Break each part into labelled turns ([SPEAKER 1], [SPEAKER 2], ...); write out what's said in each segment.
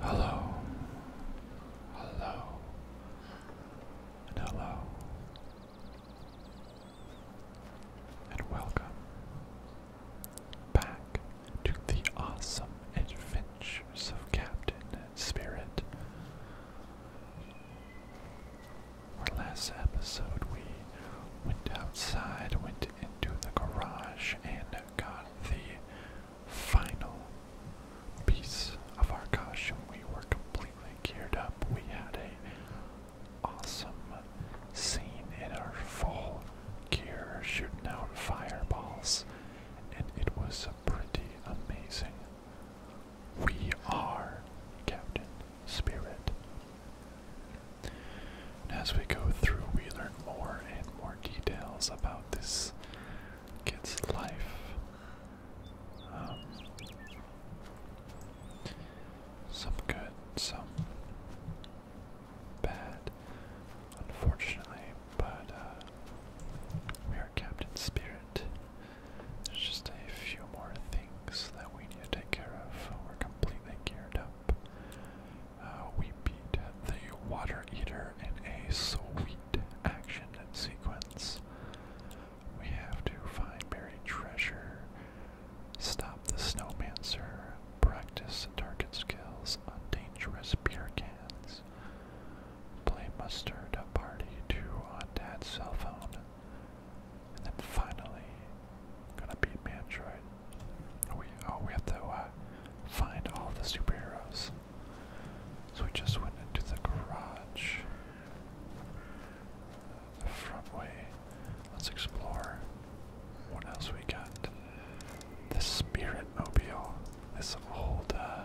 [SPEAKER 1] Hello, hello, and hello, and welcome back to the awesome adventures of Captain Spirit. Our last episode, we went outside, went into the garage, and got the final piece of our costume. We were completely geared up. We had a awesome scene in our full gear, shooting out fireballs, and it was pretty amazing. We are Captain Spirit. And as we go through, we learn more and more details about this kid's life. Um, some good, some bad, unfortunately, but uh, we are Captain Spirit. There's just a few more things that we need to take care of. We're completely geared up. Uh, we beat the Water Eater in a sweet action sequence. We have to find buried treasure, stop the Snowmancer, practice target skills on dangerous beer cans, Days. Play Mustard, a party to on Dad's cell phone. And then finally, gonna beat Mantroid. We oh we have to uh, find all the superheroes. So we just went into the garage, the front way. Let's explore. What else we got? The Spirit Mobile. This old uh,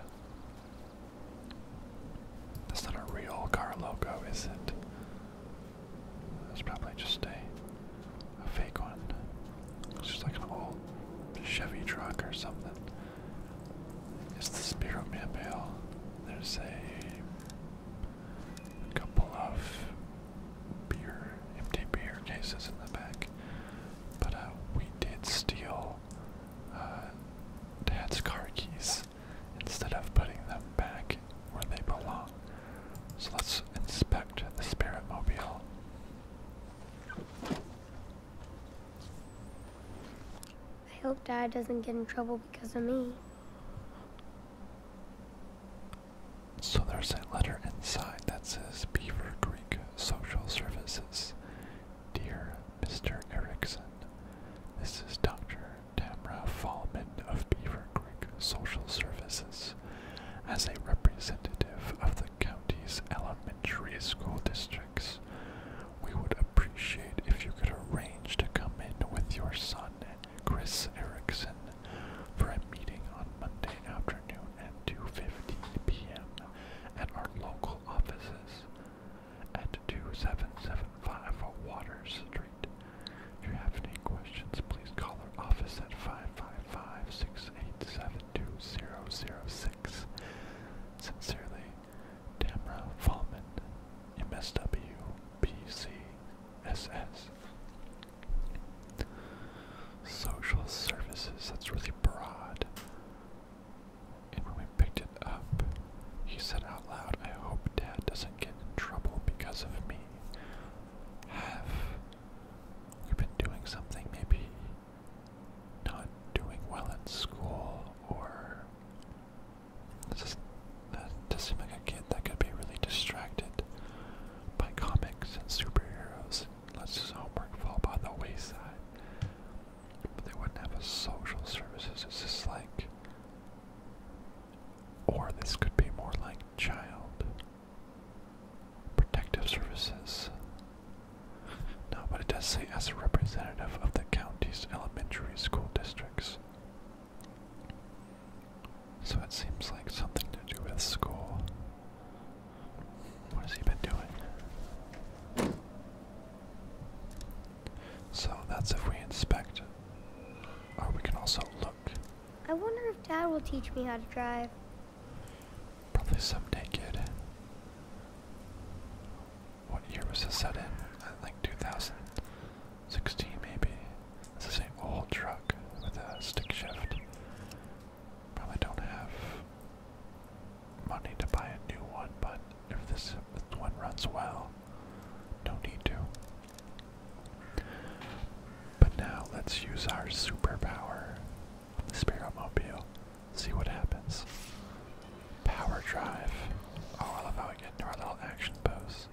[SPEAKER 1] that's not a real car logo, is it? It's probably just a, fake one. It's just like an old Chevy truck or something. It's the Spirit Man Bale. There's a, couple of beer, empty beer cases in the back. But uh, we did steal uh, dad's car keys instead of putting them back where they belong. So let's inspect the Spirit Mobile.
[SPEAKER 2] I hope Dad doesn't get in trouble because of me.
[SPEAKER 1] So there's a letter inside that says Beaver Creek Social Services. Dear Mr. Erickson, this is Dr. Tamra Fallman of Beaver Creek Social Services. As a representative of the county's elementary school districts, we would appreciate if you could arrange to come in with your son, Chris Erickson, for a meeting on Monday afternoon at 2.15 p.m. at our local offices at 2775 Waters Street. If you have any questions, please call our office at 555-687-2006. Sincerely, Tamra Fallman, MSW, PC, SS. Social services, that's really broad. And when we picked it up, he said out loud, I hope Dad doesn't get in trouble because of me. Have we been doing something maybe not doing well at school or this does seem like a kid that could be really distracted by comics and superheroes and lets his homework fall by the wayside. But they wouldn't have social services. It's just like. Or this could be more like child protective services. No, but it does say as a representative of the county's elementary school districts. So it seems like something to do with school. What has he been doing? So that's if we inspect. Or we can also look.
[SPEAKER 2] I wonder if Dad will teach me how to drive.
[SPEAKER 1] Probably someday, kid. What year was this set in? I think 2016, maybe. This is an old truck with a stick shift. Probably don't have money to buy a new one, but if this one runs well, no need to. But now let's use our superpower, the Spiromobile, see what happens. Power drive. Oh, I love how we get into our little action pose.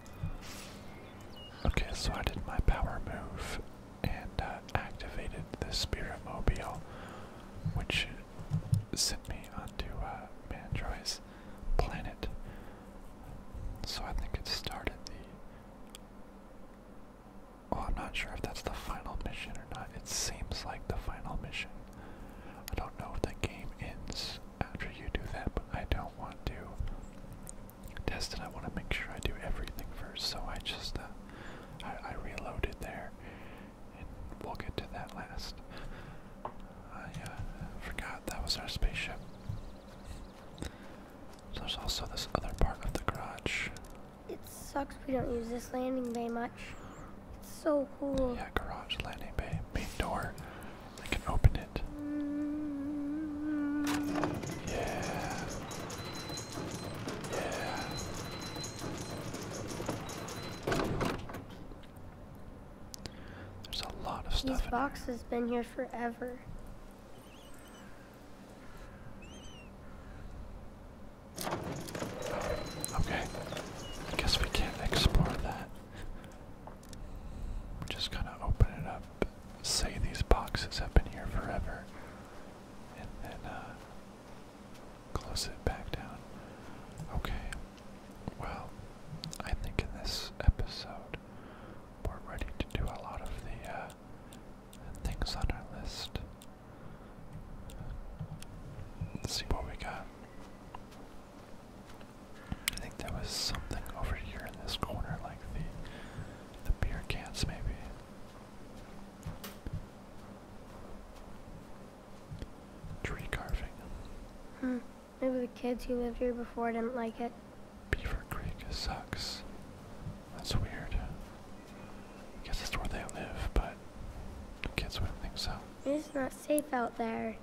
[SPEAKER 1] Okay, so I did my power move and uh, activated the Spiritmobile which sent me onto uh, planet. So I think it started the. Oh, I'm not sure if that's the final mission or not. It seems like the final mission. I don't know if the game ends after you do that, but I don't want to test it. I want to make sure I do everything first, so I just uh, I, I reloaded there we'll get to that last. I uh, forgot that was our spaceship. there's also this other part of
[SPEAKER 2] the garage. It sucks we don't use this landing bay much. It's so cool. Yeah, garage, landing bay, main door. I can open it. Yeah. Yeah. There's a This box has been here forever.
[SPEAKER 1] Okay. I guess we can't explore that. just gonna open it up. Say these boxes have been here forever. And then uh, close it back down. Okay. Well, I think in this episode we're ready to do a lot of the uh, things on our list. Let's see what we got. I think there was something over here in this corner, like the the beer cans, maybe. Tree carving.
[SPEAKER 2] Hmm. Maybe the kids who lived here before didn't like it.
[SPEAKER 1] Beaver Creek sucks. That's weird. guess that's where they live, but the kids wouldn't think so.
[SPEAKER 2] It's not safe out there.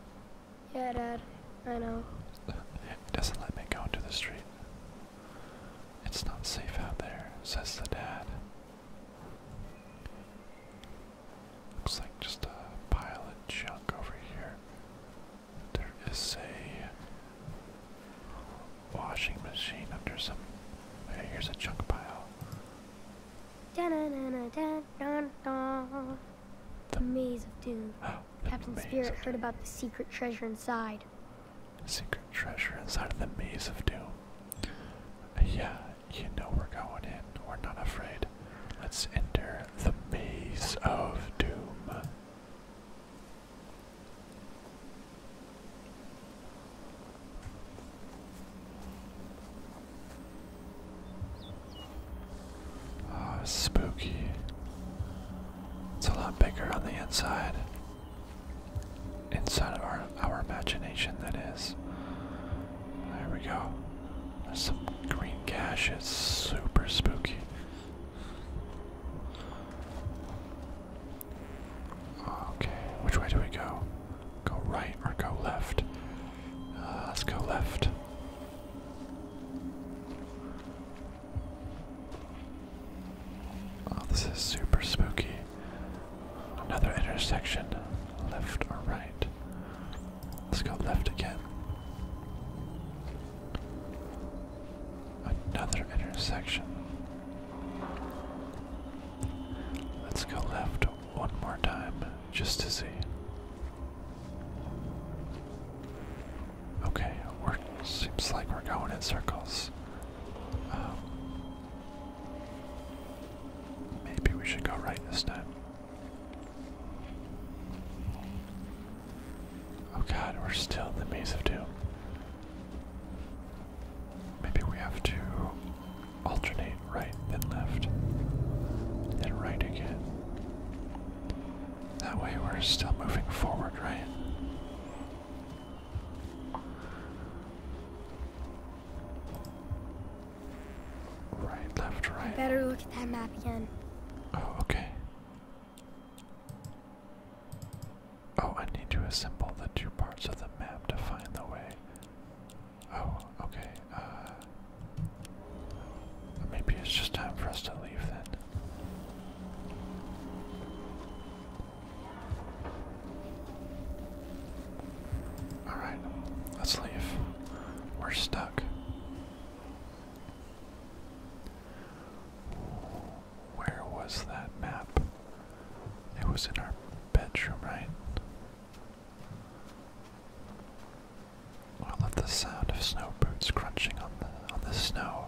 [SPEAKER 2] Yeah, Dad. I know. it
[SPEAKER 1] doesn't let me go into the street. It's not safe out there, says the dad. Looks like just a pile of junk over here. There is a washing machine under some. Hey, here's a chunk pile.
[SPEAKER 2] Da the maze of doom. Captain Spirit heard about the secret treasure inside.
[SPEAKER 1] Secret treasure inside of the maze of doom. Uh, yeah, you know we're going in. We're not afraid. Let's enter the maze of doom. oh, spooky. It's a lot bigger on the inside. Inside of our our imagination that is. There we go. There's some green cash. It's super spooky. Okay, which way do we go? Go right or go left? Uh, let's go left. Oh, this is super spooky. Another intersection. Left or right? Let's go left again. Another intersection. Let's go left one more time just to see. Okay, we seems like we're going in circles. Um, maybe we should go right this Oh god, we're still in the Maze of Doom. Maybe we have to alternate right, then left, then right again. That way we're still moving forward, right?
[SPEAKER 2] Right, left, right. better look at that map again. Oh, okay.
[SPEAKER 1] Oh, I need to assemble the two parts of the map to find the way. Oh, okay. Uh, maybe it's just time for us to leave then. Alright, let's leave. We're stuck. Where was that map? It was in our bedroom, right? I love the sound of snow boots crunching on the on the snow.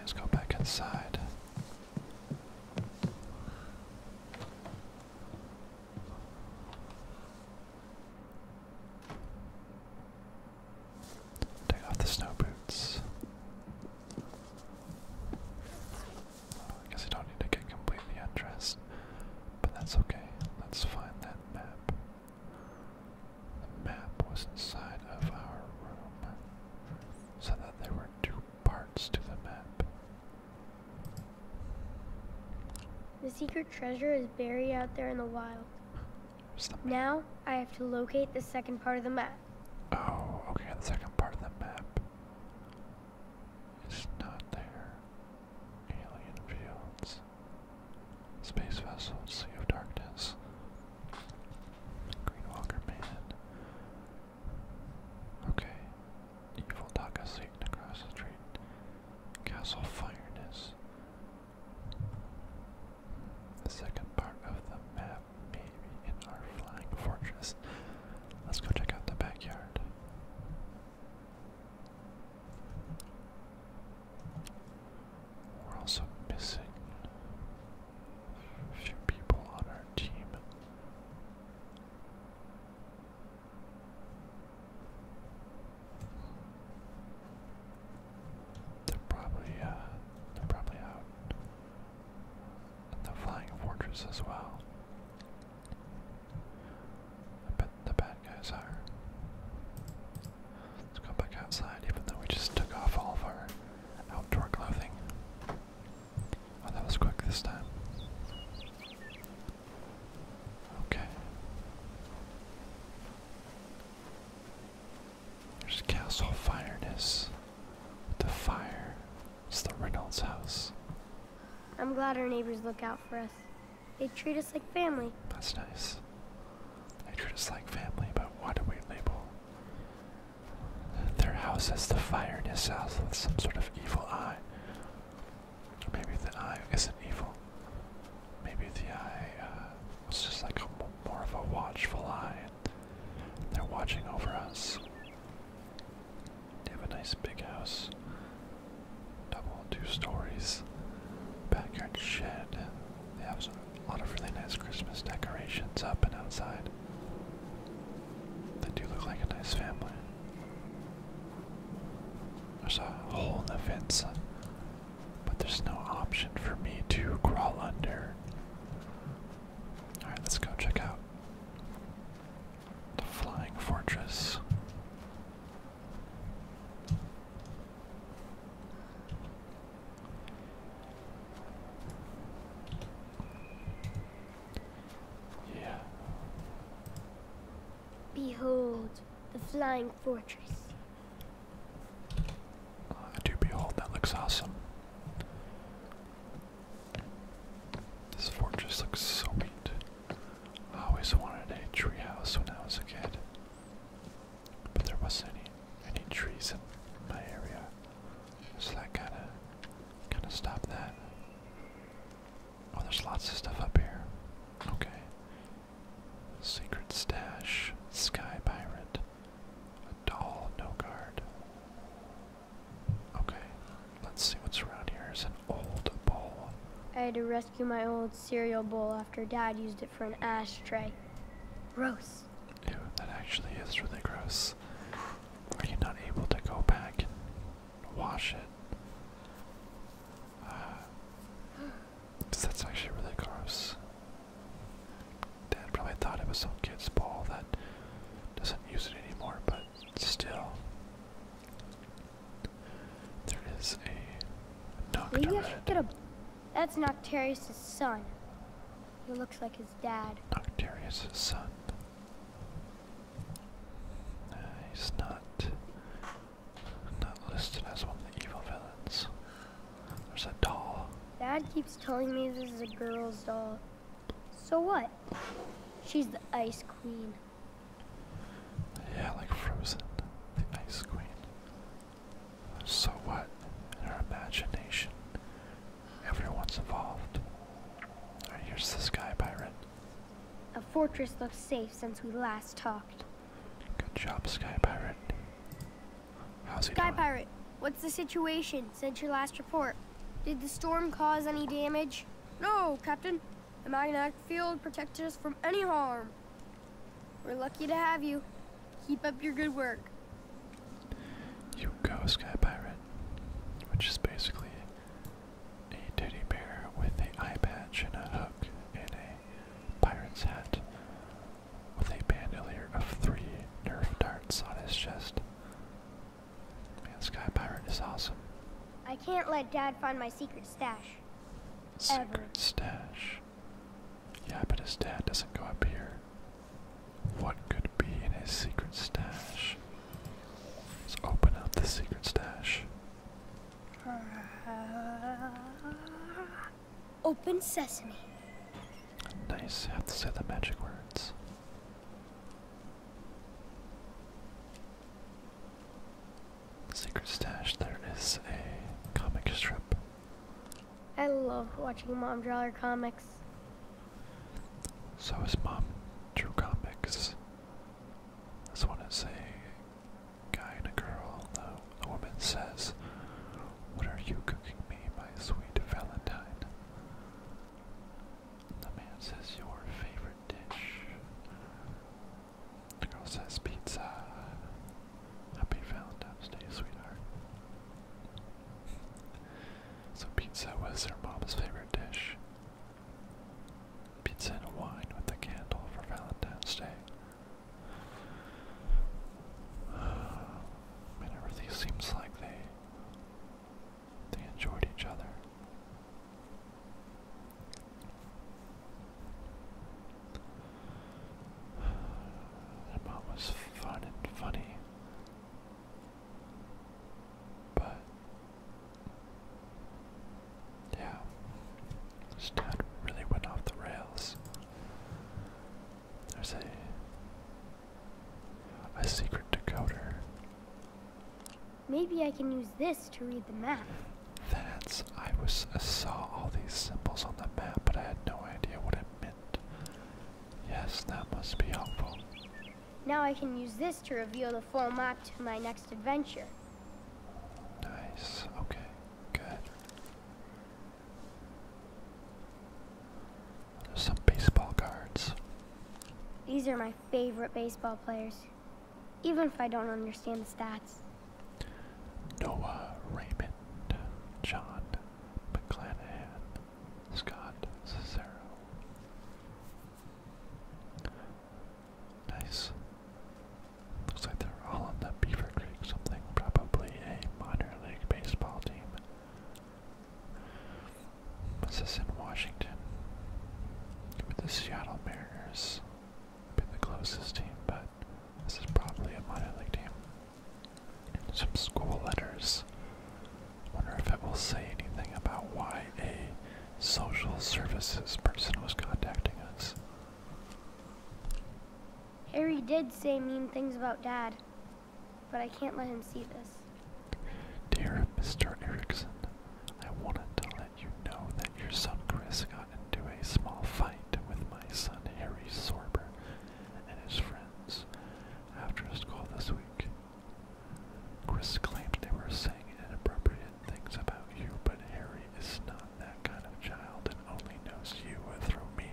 [SPEAKER 1] let's go back inside. Take off the snow boots. I guess I don't need to get completely undressed, but that's okay. Let's find that map. The map was inside of our room, so that there were two parts to the map.
[SPEAKER 2] The secret treasure is buried out there in the wild. now I have to locate the second part of the map.
[SPEAKER 1] Oh, okay, the second part of the map. It's not there. Alien fields. Space vessels, sea of darkness. Green man. Okay. Evil Dog is across the street. Castle Fireness. second part of the map, maybe in our flying fortress. Let's go check out the backyard. We're also missing few people on our team. They're probably uh they're probably out the flying fortress as well. I bet the bad guys are. Let's go back outside even though we just took off all of our outdoor clothing. Oh, that was quick this time. Okay. There's Castle Fireness. The fire. It's the Reynolds house.
[SPEAKER 2] I'm glad our neighbors look out for us. They treat us like family.
[SPEAKER 1] That's nice. They treat us like family, but why do we label their house has the fire in his house with some sort of evil eye. maybe the eye isn't evil. Maybe the eye uh, was just like more of a watchful eye. And they're watching over us. They have a nice big house. Double, two stories. Backyard shed. They have a lot of really nice Christmas decorations up and outside. They do look like a nice family. There's a hole in the fence, uh, but there's no option for me to crawl under. Alright, let's go check out the Flying Fortress. Yeah.
[SPEAKER 2] Behold the flying fortress. Oh, I do behold, that looks awesome.
[SPEAKER 1] This fortress looks so neat. I always wanted a tree house when I was a kid. But there wasn't any any trees in my area. So that kind of kind of stop that. Oh, there's lots of stuff up here. Okay. Secret stash, sky pirate, a doll, no guard. Okay, let's see what's around here. It's an old bowl.
[SPEAKER 2] I had to rescue my old cereal bowl after Dad used it for an ashtray. Gross.
[SPEAKER 1] Ew, that actually is really gross. Are you not able to go back and wash it? Uh, that's actually really gross. Dad probably thought it was some kid's ball that doesn't use it anymore, but still. There is a
[SPEAKER 2] Nocturne. That's Noctarius' son. He looks like his dad.
[SPEAKER 1] Noctarius' son he's not not listed as one of the evil villains. There's a doll.
[SPEAKER 2] Dad keeps telling me this is a girl's doll. So what? She's the ice queen. Yeah, like Frozen,
[SPEAKER 1] the ice queen. So what? In her imagination, Everyone's involved. Alright, here's the sky pirate.
[SPEAKER 2] A fortress looks safe since we last talked.
[SPEAKER 1] Good job, Sky Pirate.
[SPEAKER 2] How's he Sky Pirate, what's the situation since your last report? Did the storm cause any damage? No, Captain. The magnetic field protected us from any harm. We're lucky to have you. Keep up your good work.
[SPEAKER 1] You go, Sky Pirate. Which is basically a teddy bear with a eye patch and a hook and a pirate's hat with a bandolier of three nerve darts on his chest. Man, Sky Pirate is awesome.
[SPEAKER 2] I can't let Dad find my secret stash.
[SPEAKER 1] Secret stash. Yeah, but his dad doesn't go up here. What could be in his secret stash? Let's open up the secret stash.
[SPEAKER 2] open sesame.
[SPEAKER 1] Nice. Have to say the magic words. Secret stash. There is a comic strip.
[SPEAKER 2] I love watching Mom draw her comics. So is mom
[SPEAKER 1] drew comics. This one is a guy and a girl. The, the woman says, What are you cooking me, my sweet Valentine? The man says, Your favorite dish. The girl says, Pizza. Happy Valentine's Day, sweetheart. So, pizza was her mom's favorite dish. Pizza and wine with a candle for Valentine's Day. Man, it seems like they they enjoyed each other. Their mom was fun and funny. But yeah, this town really went off the rails. There's a a secret decoder.
[SPEAKER 2] Maybe I can use this to read the map.
[SPEAKER 1] That's I was I saw all these symbols on the map, but I had no idea what it meant. Yes, that must be helpful.
[SPEAKER 2] Now I can use this to reveal the full map to my next adventure.
[SPEAKER 1] Nice. Okay. Good.
[SPEAKER 2] There's some baseball cards. These are my favorite baseball players, even if I don't understand the stats.
[SPEAKER 1] Noah Raymond, John McClanahan, Scott Cicero, Nice. Looks like they're all on the Beaver Creek something, probably a minor league baseball team. What's this in Washington? With the Seattle Mariners been the closest team, but this is probably a minor league team. Some school letters. Wonder if it will say anything about why a social services person was contacting us.
[SPEAKER 2] Harry did say mean things about Dad, but I can't let him see this.
[SPEAKER 1] Dear Mr. Erickson, I wanted to let you know that your son Chris got into a small fight with my son Harry Sorber and his friends after school this week. Chris claims they were saying inappropriate things about you, but Harry is not that kind of child and only knows you through me.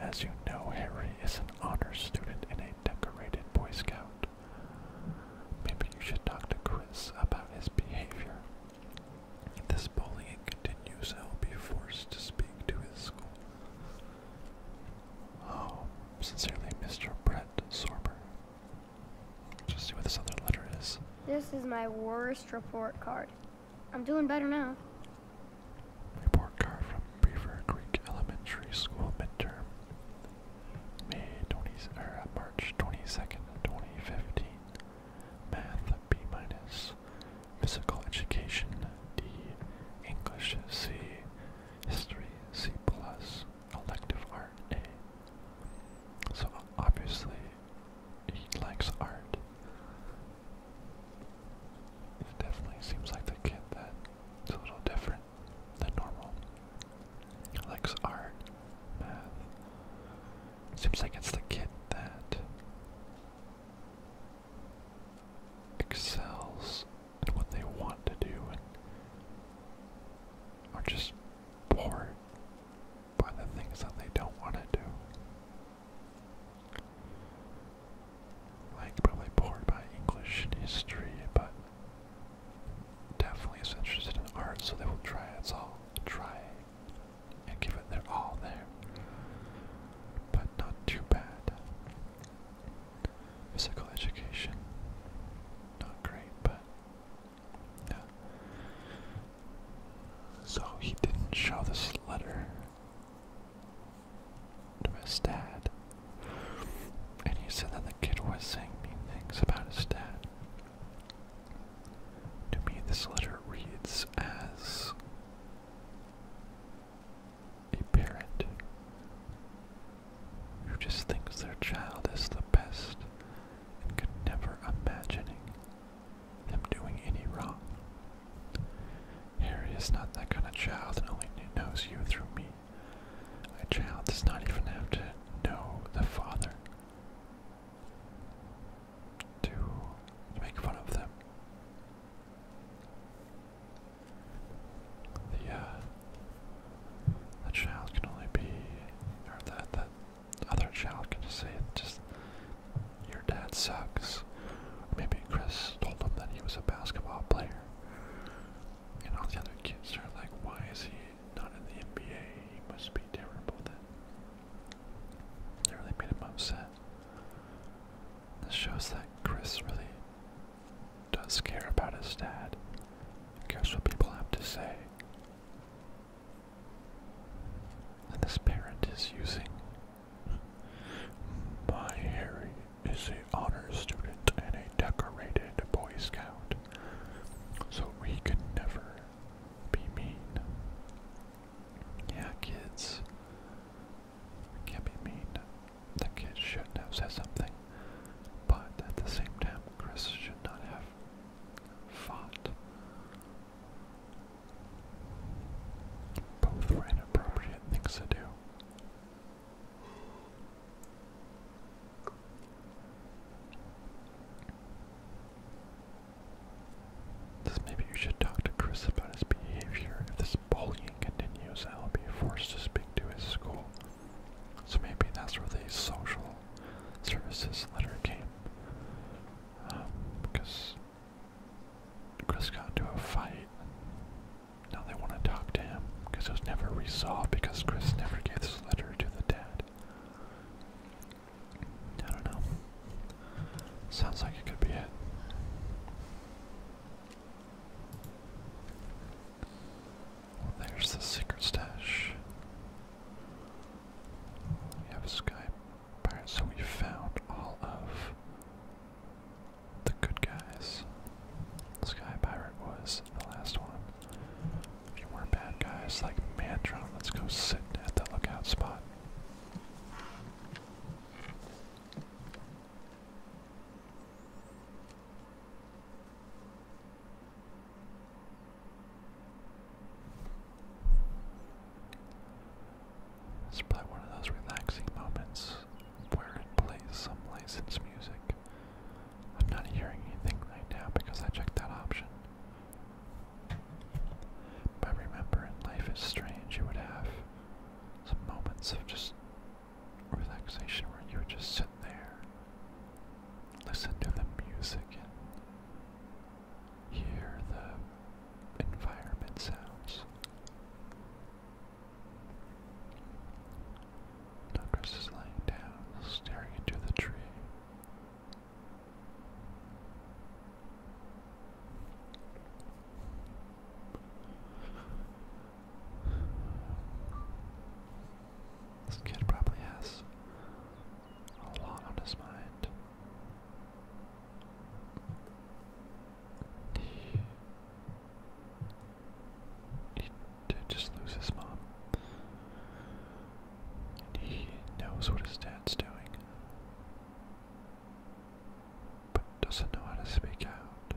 [SPEAKER 1] As you know, Harry is an honor student and a decorated Boy Scout. Maybe you should talk to Chris about his behavior. If this bullying continues, I will be forced to speak to his school. Oh, sincerely, Mr. Brett Sorber. Just see what this other letter is.
[SPEAKER 2] This is my worst report card. I'm doing better now. Report
[SPEAKER 1] card from Beaver Creek Elementary School midterm. Er, March 22nd, 2015. Math B minus. Physical education D. English C. History C plus elective art eh? So obviously he likes art. definitely seems like the kid that's a little different than normal. likes art, math. Seems like it's the kid that excels and what they want to do and are just bored by the things that they don't want to do. Like probably bored by English and history, but definitely is interested in art, so they will try it's all try and give it their all there. But not too bad. Physical education, not great, but so he didn't show this letter to his dad. And he said that the kid was saying mean things about his dad. To me, this letter reads as a parent who just thinks their child is the best and could never imagine them doing any wrong. Harry is not that kind of child and only knows you through me. A child does not even have to know the father to make fun of them. The uh, that child can only be, or that that other child can just say, "Just your dad sucks." maybe Chris told him that he was a basketball player, and all the other kids are like, "Why is he not in the NBA? He must be terrible." Then it really made him upset. This shows that Chris really does care about his dad, cares what people have to say. this parent is using. My Harry is a honor student and a decorated Boy Scout, so we can never be mean. Yeah, kids. can't be mean. The kids shouldn't have said something. But at the same time, Chris should not have fought. Both were inappropriate things to do. maybe you should talk to Chris about his behavior. If this bullying continues, I'll be forced to speak to his school. So maybe that's where the social services letter came. because um, Chris got into a fight. Now they want to talk to him because it was never resolved because Chris never gave this letter to the dad. I don't know. Sounds like it could be it there's the secret stash. We have a sky pirate, so we found all of the good guys. Sky pirate was the last one. If you were bad guys like Mantron, let's go sit at the lookout spot. It's probably one of those relaxing moments where it plays some licensed music. I'm not hearing anything right now because I checked that option. But remember, in Life is Strange, you would have some moments of just relaxation where you would just sit there, listen to the music and hear the environment sounds. Douglas is lying down, staring into the tree. This kid probably has a lot on his mind. He, did just lose his mom. And he knows what his dad's doing, but doesn't know how to speak out.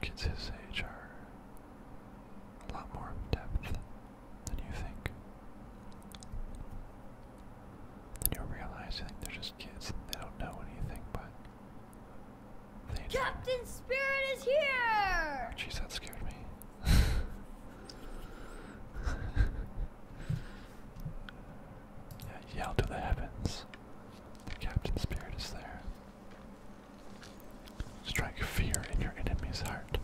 [SPEAKER 1] Kids his age are a lot more in depth than you think. Then you'll realize you think they're just kids they don't know anything, but
[SPEAKER 2] Captain Spirit is here! Jeez, scared me.
[SPEAKER 1] yell to the heavens. The Captain Spirit is there. Strike fear in your enemy's heart.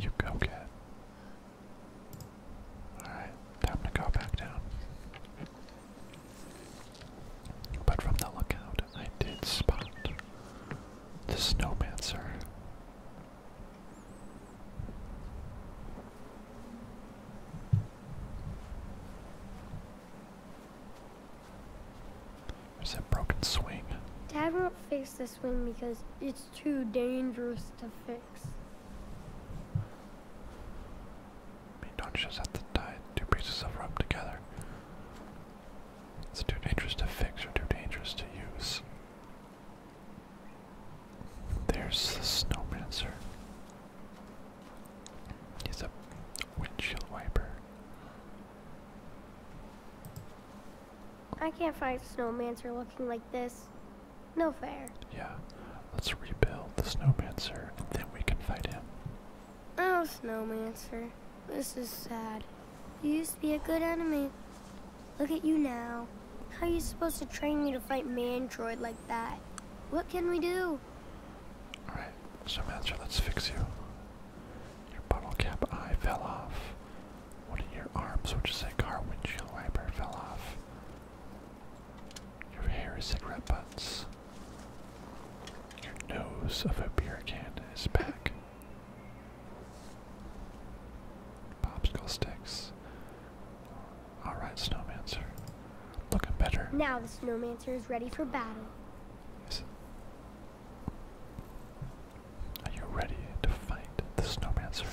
[SPEAKER 1] You go get. Alright, time to go back down. But from the lookout, I did spot the snowmancer there's that broken swing.
[SPEAKER 2] Dad won't fix the swing because it's too dangerous to fix.
[SPEAKER 1] I don't just have to tie two pieces of rope together. It's too dangerous to fix or too dangerous to use. There's the snowmancer. He's a windshield wiper.
[SPEAKER 2] I can't find snowmancer looking like this. No fair. Yeah.
[SPEAKER 1] Let's rebuild the snowmancer and then
[SPEAKER 2] we can fight him. Oh, snowmancer. This is sad. You used to be a good enemy. Look at you now. How are you supposed to train me to fight Mandroid like that? What can we do? Alright,
[SPEAKER 1] so Master, let's fix you. Your bottle cap eye fell off. One of your arms, which is a car windshield wiper, fell off. Your hair is red butts. Your nose of a beer can is back. Popsicle sticks. Alright, Snowmancer. Looking better.
[SPEAKER 2] Now the Snowmancer is ready for battle. Is
[SPEAKER 1] Are you ready to fight the Snowmancer?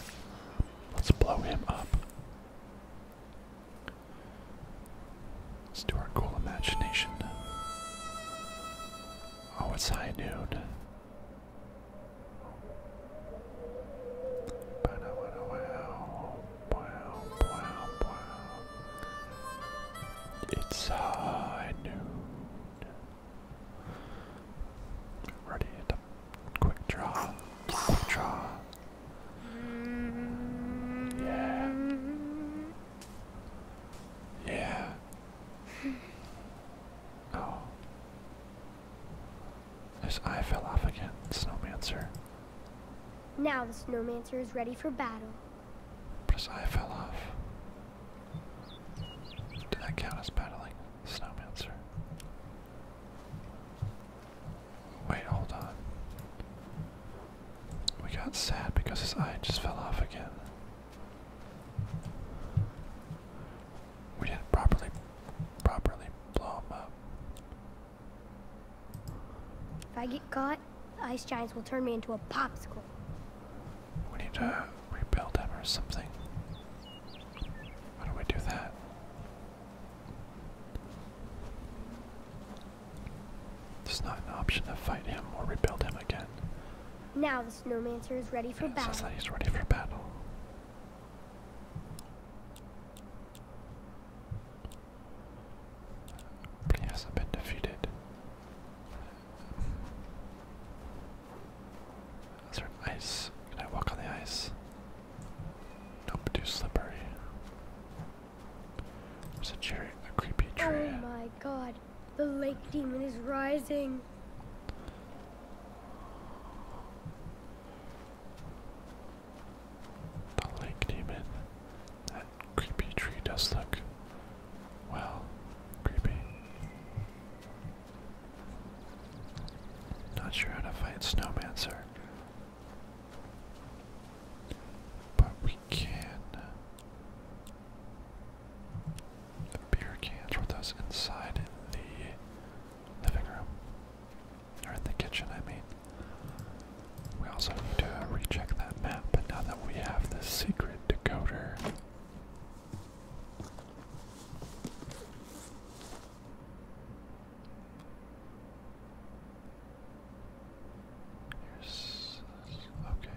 [SPEAKER 1] Let's blow him up. Let's do our cool imagination. Oh, it's high noon. It's high noon. Ready to quick draw. Quick draw. Yeah. Yeah. Oh. His eye fell off again, Snowmancer.
[SPEAKER 2] Now the Snowmancer is ready for battle. But his eye
[SPEAKER 1] fell off. Did that count as battling the Snowmancer? Wait, hold on. We got sad because his eye just fell off again. We didn't properly properly blow him up.
[SPEAKER 2] If I get caught, the ice giants will turn me into a popsicle.
[SPEAKER 1] We need to rebuild him or something. How do we do that? There's not an option to fight him or rebuild him again.
[SPEAKER 2] Now the snowmancer is ready for yeah, battle. Says that he's
[SPEAKER 1] ready for battle. But he has been defeated. Is ice? Can I walk on the ice? Nope, too slippery. There's a cherry, a creepy tree. Oh
[SPEAKER 2] my god, the lake demon is rising.
[SPEAKER 1] The lake demon. That creepy tree does look, well, creepy. Not sure how to fight Snowmancer. But we can beer cans with us inside the living room. Or in the kitchen, I mean. We also need to recheck that map, but now that we have the secret decoder. Here's. Okay.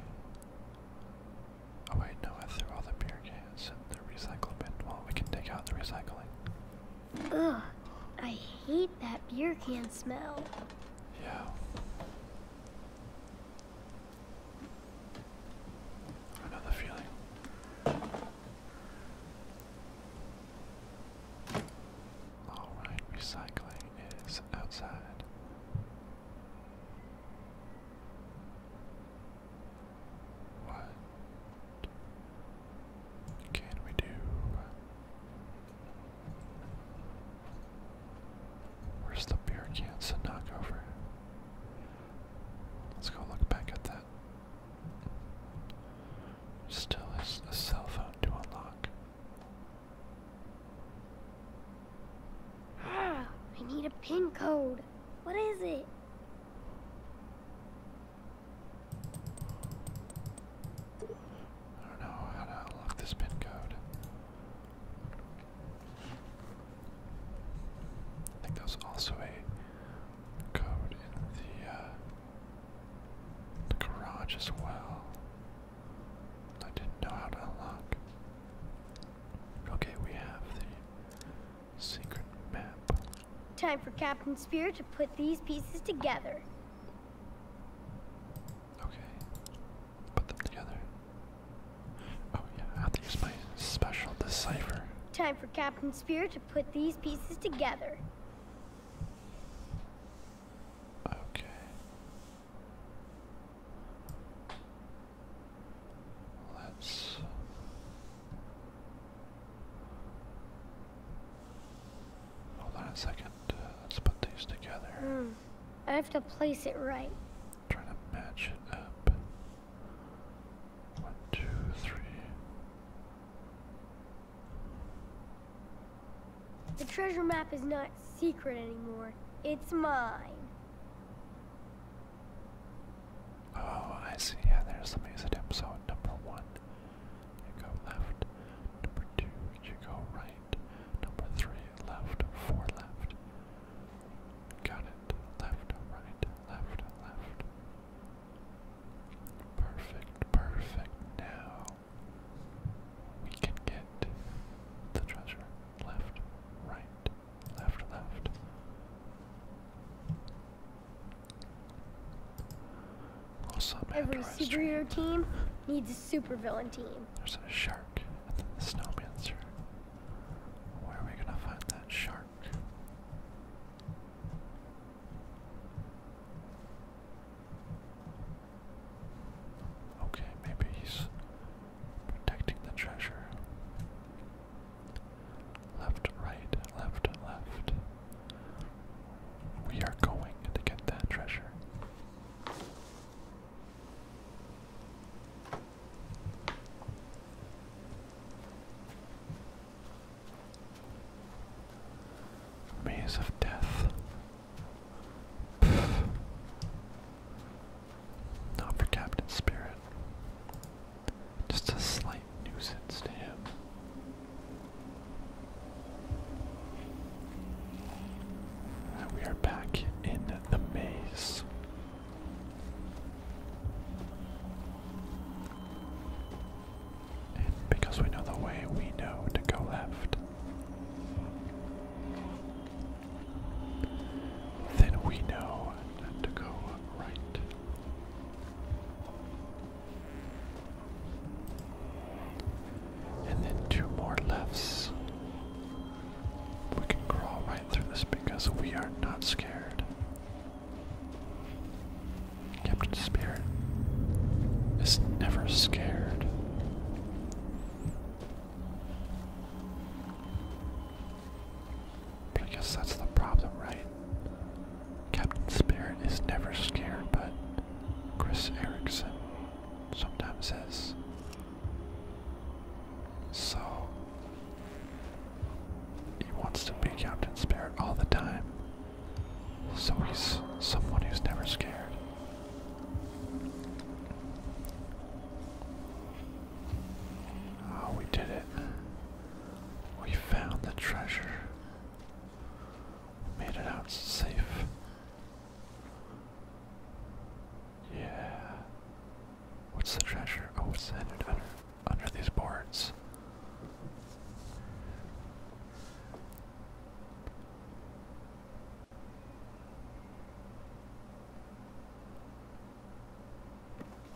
[SPEAKER 1] Oh wait, no, I threw all the beer cans in the recycle bin. Well, we can take out the recycling.
[SPEAKER 2] Ugh, I hate that beer can smell. Yeah.
[SPEAKER 1] I know the feeling. Alright, recycling is outside. What can we do? Where's the beer cans to knock over? Let's go look back at that. Still is a cell phone to unlock.
[SPEAKER 2] Ah, I need a pin code. What is it? I don't know
[SPEAKER 1] how to unlock this pin code. I think that was also a code in the, uh, the garage as well. I didn't know how to unlock. Okay, we have the Secret map.
[SPEAKER 2] Time for Captain Spear to put these pieces together. Okay. Put them together. Oh yeah, I have to use my special decipher. Time for Captain Spear to put these pieces together. Okay.
[SPEAKER 1] Let's hold on a second. Uh, let's put these
[SPEAKER 2] together. Hmm. I have to place it right. Try to match it up. One, two, three. The treasure map is not secret anymore. It's mine.
[SPEAKER 1] Oh, I see. Yeah, there's the maze attempt. number one, you go left. Number two, you go right. Number three, left, four left. Got it. Left, right, left, left. Perfect, perfect. Now we can get the treasure. Left, right left, left.
[SPEAKER 2] Every superhero team needs a supervillain team. There's a shark and then snowman's snowmancer.
[SPEAKER 1] Where are we gonna find that shark? Okay, maybe he's protecting the treasure. Left, right, left, left. We are going to get that treasure. Maze of Death. Not for Captain Spirit. Just a slight nuisance to him. we are back in the maze. And because we know the way, we know to go left. Then we know to go right. And then two more lefts. We can crawl right through this because we are not scared. Captain Spirit is never scared. I guess that's the problem, right? Captain Spirit is never scared, but Chris Erickson sometimes is. So, he wants to be Captain Spirit all the time. So he's someone who's never scared. Oh, we did it. We found the treasure. Made it out safe. Yeah. What's the treasure? Oh, what's headed under under these boards.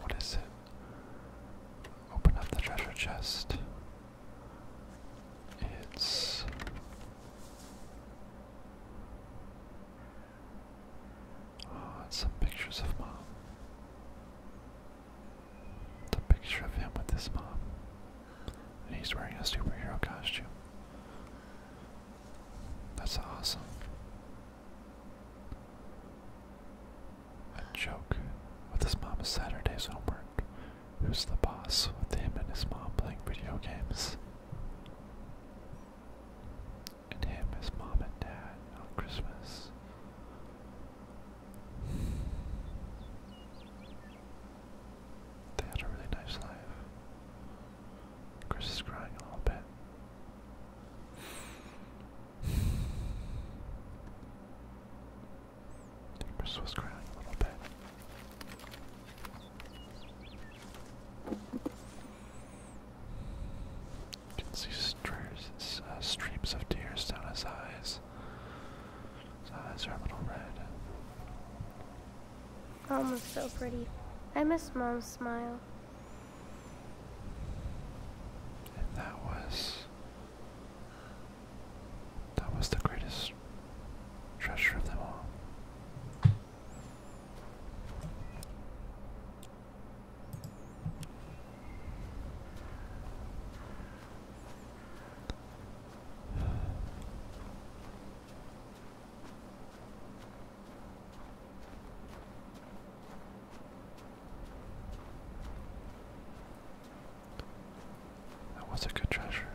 [SPEAKER 1] What is it? Open up the treasure chest. It's oh, it's some pictures of mom. It's a picture of him with his mom. And he's wearing a superhero costume. That's awesome. A joke with his mom Saturday's homework. Who's the boss with him and his mom playing video games? And him, his mom, and dad on Christmas. They had a really nice life. Chris is crying a little bit. Timbers was growing a little bit. You can see uh, streams of tears down his eyes. His eyes are a little red.
[SPEAKER 2] Mom was so pretty. I miss Mom's smile.
[SPEAKER 1] And that was that was the greatest treasure of them all. That was a good treasure.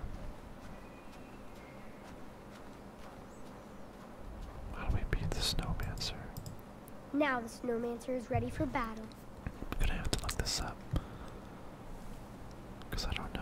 [SPEAKER 2] How do we beat the snowmancer? Now the snowmancer is ready for battle.
[SPEAKER 1] i have to look this up. Because I don't know.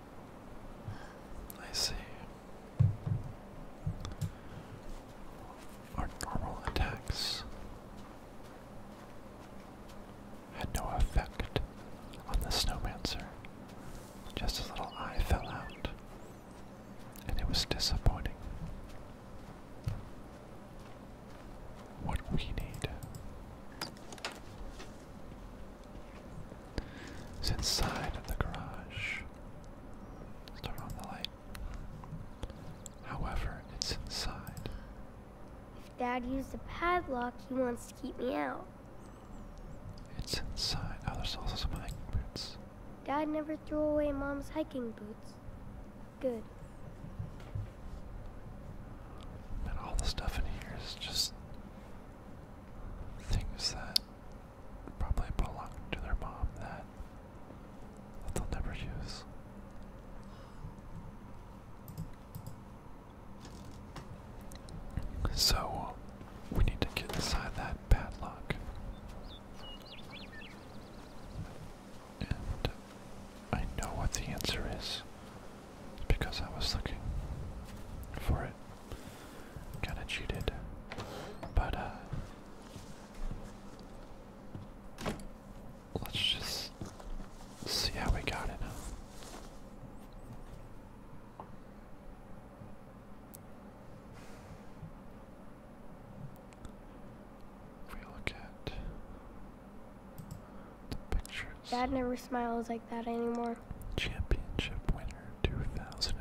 [SPEAKER 1] I see. Our normal attacks had no effect on the snowmancer. Just his little eye fell out, and it was disappointing. What we need it's inside of the garage. Let's turn on the light. However, it's inside.
[SPEAKER 2] If Dad used a padlock, he wants to keep me out. It's inside.
[SPEAKER 1] Oh, there's also some hiking
[SPEAKER 2] boots. Dad never threw away Mom's hiking boots. Good.
[SPEAKER 1] And all the stuff in here is just things that probably belong to their mom that, they'll never use. So we need to get inside that padlock. And I know what the answer is because I was looking for it. Kind of cheated, but uh, let's just see how we got it.
[SPEAKER 2] If we look at the pictures. Dad never smiles like that anymore. Championship winner 2005.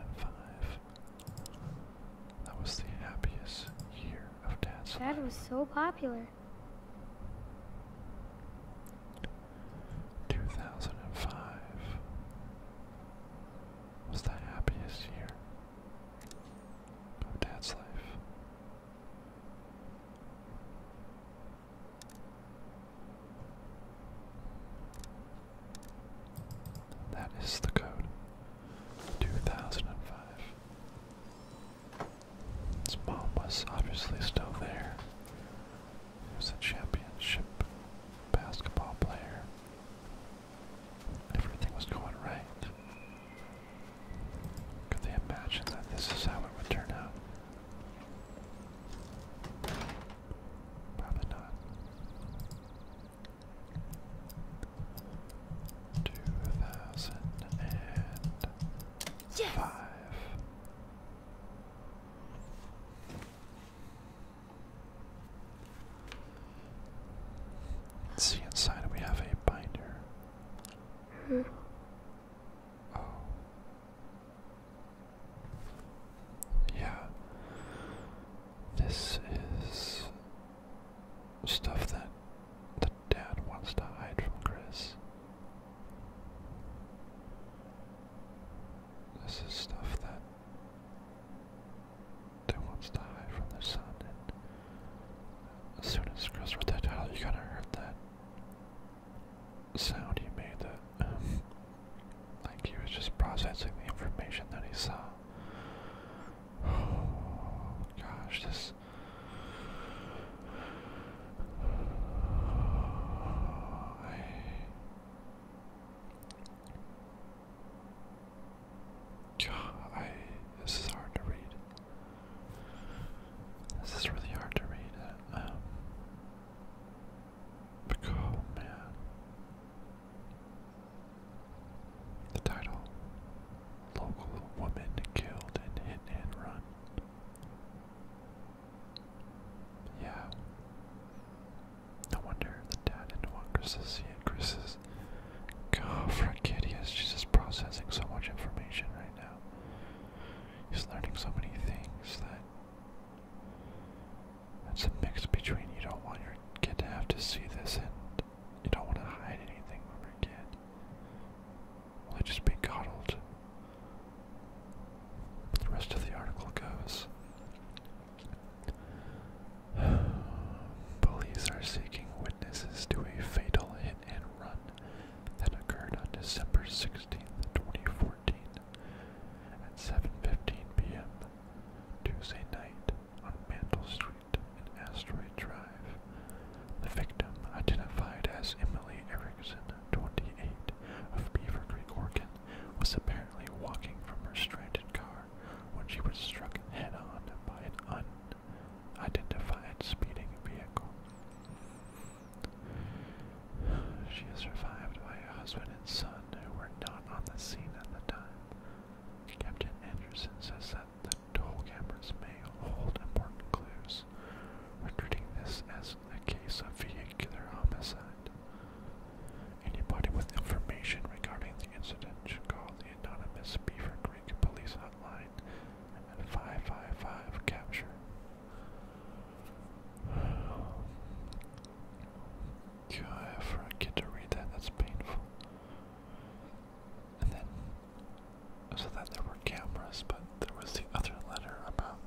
[SPEAKER 1] That was the happiest year of
[SPEAKER 2] dad's Dad was so popular.
[SPEAKER 1] 2005 was the happiest year of dad's life. That is the code. 2005. His mom was obviously still there. He was a championship basketball player. Everything was going right. Could they imagine that this is how it would turn out? Probably not. Two thousand see inside we have a binder.
[SPEAKER 2] Hmm. Oh.
[SPEAKER 1] Yeah. This is stuff that the dad wants to hide from Chris. This is stuff that they wants to hide from the son and as soon as Chris read that title you are gonna hear that sound he made that um, like he was just processing the information that he saw. gosh, this. I... I. This is hard to read. This is really hard to read. Um, Oh man. The title Local Woman Killed in Hit and Run. Yeah. No wonder the dad didn't Chris to see it. Chris is. She's just processing so much information right now. He's learning so many things that it's a mix between you don't want your kid to have to see this and you don't want to hide anything from your kid. Will they just be coddled? The rest of the article goes. Police are seeking witnesses to a fatal hit and run that occurred on December 16th, 2014 at 7.15 p.m. Tuesday night on Mantle Street in Asteroid Drive. The victim, identified as Emily Erickson, 28, of Beaver Creek, Oregon, was apparently walking from her stranded car when she was struck head-on by an unidentified speeding vehicle. She is survived by a husband and son who were not on the scene at the time. Captain Anderson says that the toll cameras may hold important clues. We're treating this as a case of vehicular homicide. Anybody with information regarding the incident should call the anonymous Beaver Creek Police Hotline at 555 Capture. God, for a kid to read that, that's painful. And then, so that there were cameras, but there was the other letter about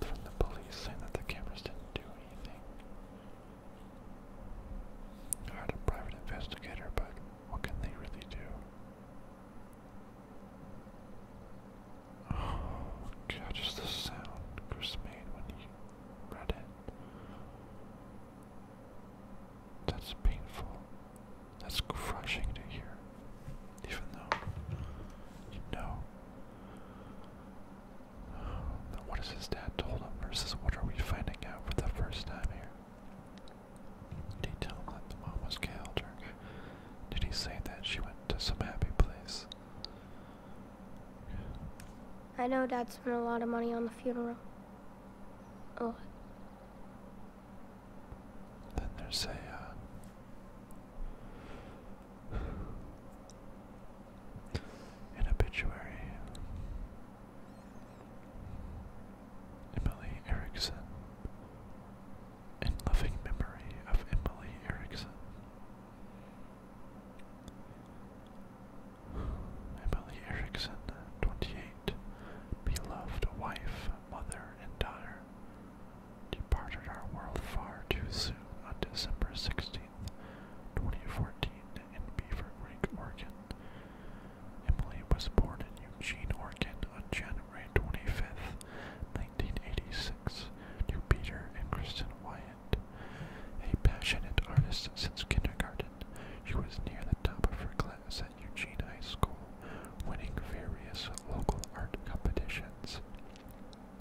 [SPEAKER 1] from the police saying that the cameras didn't do anything. I a private investigator, but what can they really do? Oh god, just the sound Chris made when he read it. That's painful. That's crushing to hear. Even though you know now what has his dad told him versus what are we finding out for the first time here? Did he tell him that the mom was killed did he say that she went to some happy place?
[SPEAKER 2] I know Dad spent a lot of money on the funeral. A
[SPEAKER 1] Then there's a. Uh, obituary. Emily Erickson. In loving memory of Emily Erickson. Emily Erickson, 28, beloved wife, mother, and daughter, departed our world far too soon on December sixteenth, 2014, in Beaver Creek, Oregon. Emily was born in Eugene, Oregon on January twenty-fifth, 1986, to Peter and Kristen Wyatt. A passionate artist since kindergarten, she was near the top of her class at Eugene High School, winning various local art competitions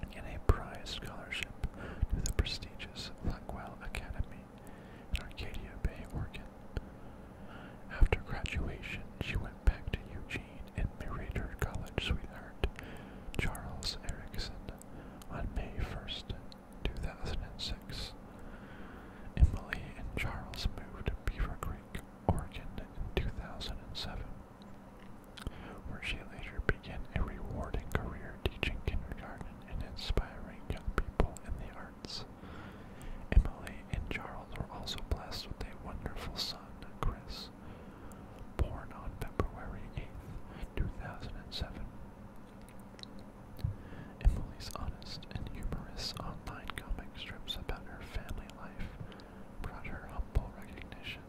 [SPEAKER 1] and a prize scholarship to the prestigious Blackwell Academy in Arcadia Bay, Oregon. After graduation, she went back to Eugene and married her college sweetheart, Charles Erickson, on May 1st, 2006. Emily and Charles moved to Beaver Creek, Oregon in 2007, where she later began a rewarding career teaching kindergarten and inspiring young people in the arts. Emily and Charles were also blessed with a wonderful son, Chris, born on February 8th, 2007. Emily's honest and humorous online comic strips about her family life brought her humble recognition.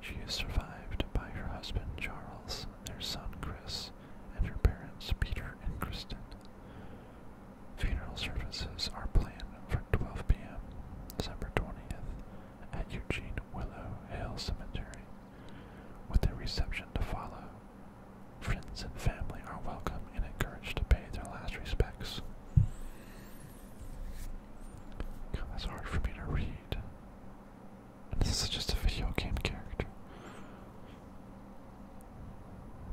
[SPEAKER 1] She is survived by her husband Charles, their son Chris, and her parents Peter and Kristen. Funeral services are planned for 12 p.m. December 20th at Eugene Willow Hill Cemetery, with a reception to follow. Friends and family are welcome and encouraged to pay their last respects. God, that's hard for me to read. this is just a video game character.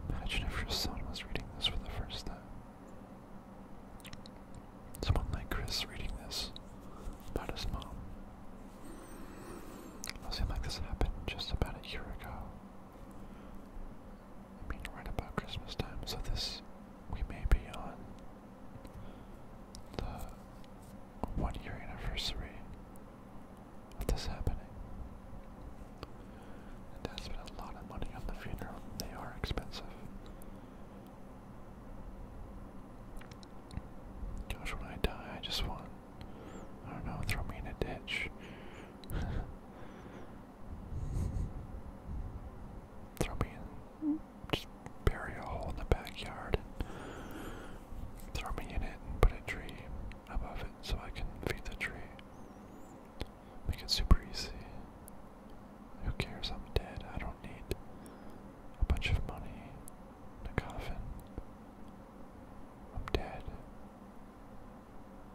[SPEAKER 1] Imagine if your son was reading this for the first time. Someone like Chris reading this about his mom. It seemed like this happened just about a year ago. I mean, right about Christmas time, so this, we may be on the one year anniversary of this happening. And Dad spent a lot of money on the funeral. They are expensive. Gosh, when I die, I just want, I don't know, throw me in a ditch. throw me in, just bury a hole in the backyard and throw me in it and put a tree above it so I can feed the tree. Make it super easy. Who cares? I'm dead. I don't need a bunch of money in a coffin. I'm dead.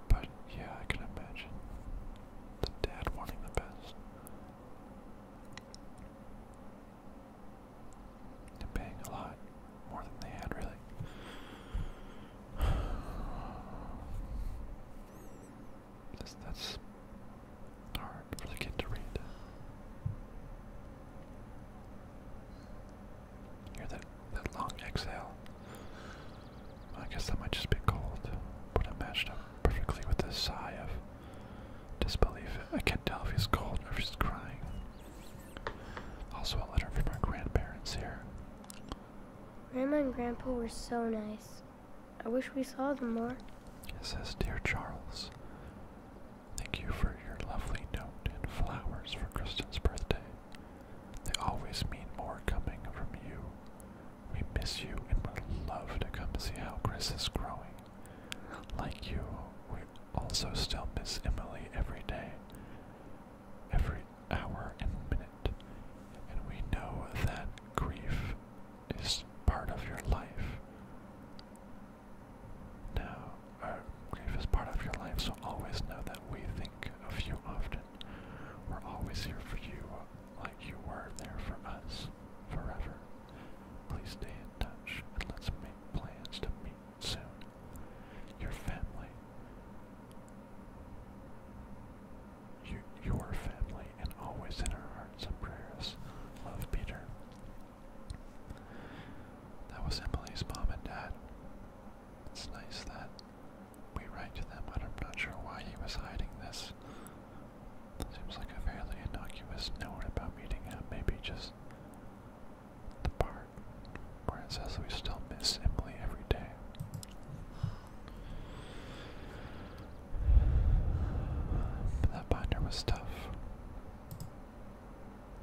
[SPEAKER 1] But yeah, I can imagine the dad wanting the best. They're a lot more than they had, really. that's hard for the kid to read. Hear that that long exhale? I guess that might just be cold, but it matched up perfectly with this sigh of disbelief. I can't tell if he's cold or if he's crying. Also, a letter from my grandparents here.
[SPEAKER 2] Grandma and Grandpa were so nice. I wish we saw them more.
[SPEAKER 1] It says, Dear Charles, Thank you for your lovely note and flowers for Kristen's birthday. They always mean more coming from you. We miss you and would love to come see how Chris is growing. Like you, we also still miss Emily every day, every hour and minute, and we know that grief is part of your life. Now, our grief part of your life, so always know that we think of you often. We're always here for you, like you were there for us, forever. Please stay in touch, and let's make plans to meet soon. Your family. You, your family, and always in our hearts and prayers. Love, Peter. That was Emily's mom and dad. It's nice that we write to them, but I'm not sure why he was hiding this. Seems like a fairly innocuous note about meeting him, maybe just the part where it says we still miss Emily every day. But that binder was tough.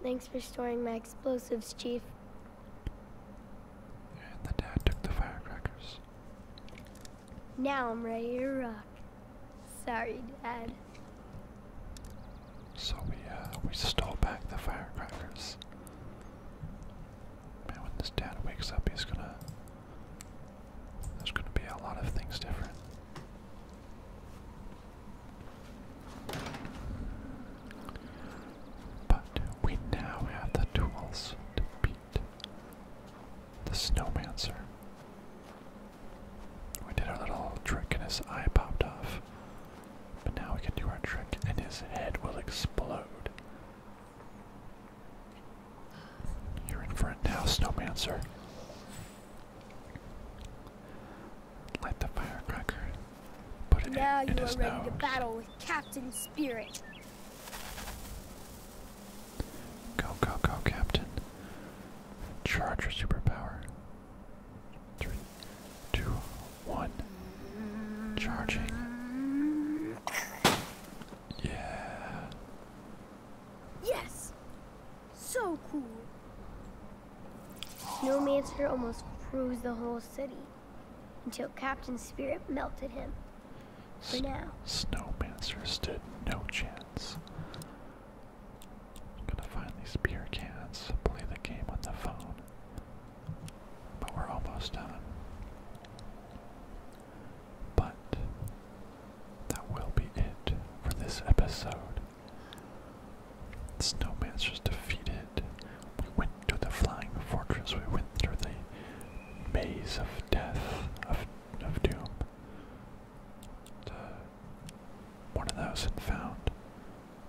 [SPEAKER 2] Thanks for storing my explosives, Chief. And the dad took the firecrackers. Now I'm ready to rock. Sorry, Dad. So we uh we stole back the firecrackers.
[SPEAKER 1] Man, when this dad wakes up, he's gonna. There's gonna be a lot of things different. But we now have the tools to beat the snowmancer. We did our little trick and his eye popped off. But now we can do our trick and his head will explode. You're in for now,
[SPEAKER 2] snowmancer. Light the firecracker. Put it now you are ready to battle with Captain Spirit.
[SPEAKER 1] Go, go, go, Captain. Charge your superpower. Three, two, one.
[SPEAKER 2] Charging. Yeah. Yes. So cool. Snowmancer almost froze the whole city until Captain Spirit melted him. For S now.
[SPEAKER 1] Snowmancer stood no chance. gonna find these beer cans, play the game on the phone. But we're almost done. But that will be it for this episode snowman's just defeated. We went to the flying fortress. We went through the maze of death, of, of doom. And, one of those and found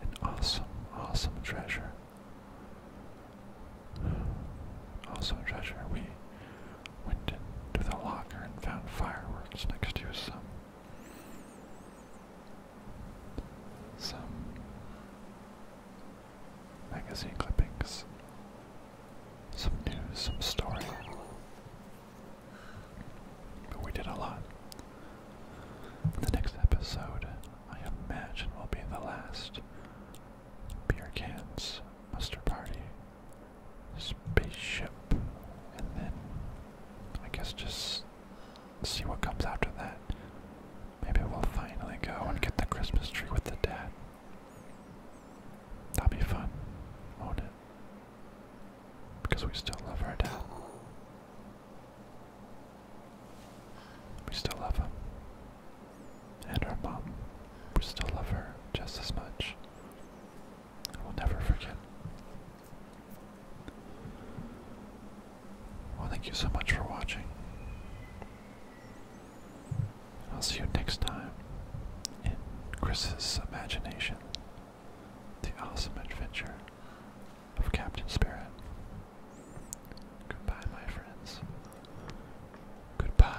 [SPEAKER 1] an awesome, awesome treasure. Awesome treasure. We went into the locker and found fireworks next to some some magazine clippings, some news, some stories. But we did a lot. The next episode, I imagine, will be the last beer cans muster party spaceship, and then I guess just see what comes after that. Maybe we'll finally go and get the Christmas tree with the dad. that would be fun, won't it? Because we still love our dad. We still love him. And our mom. We still love her just as much. I will never forget. Well, thank you so much for watching. I'll see you next time in Chris's imagination, the awesome adventure of Captain Spirit. Goodbye, my friends. Goodbye.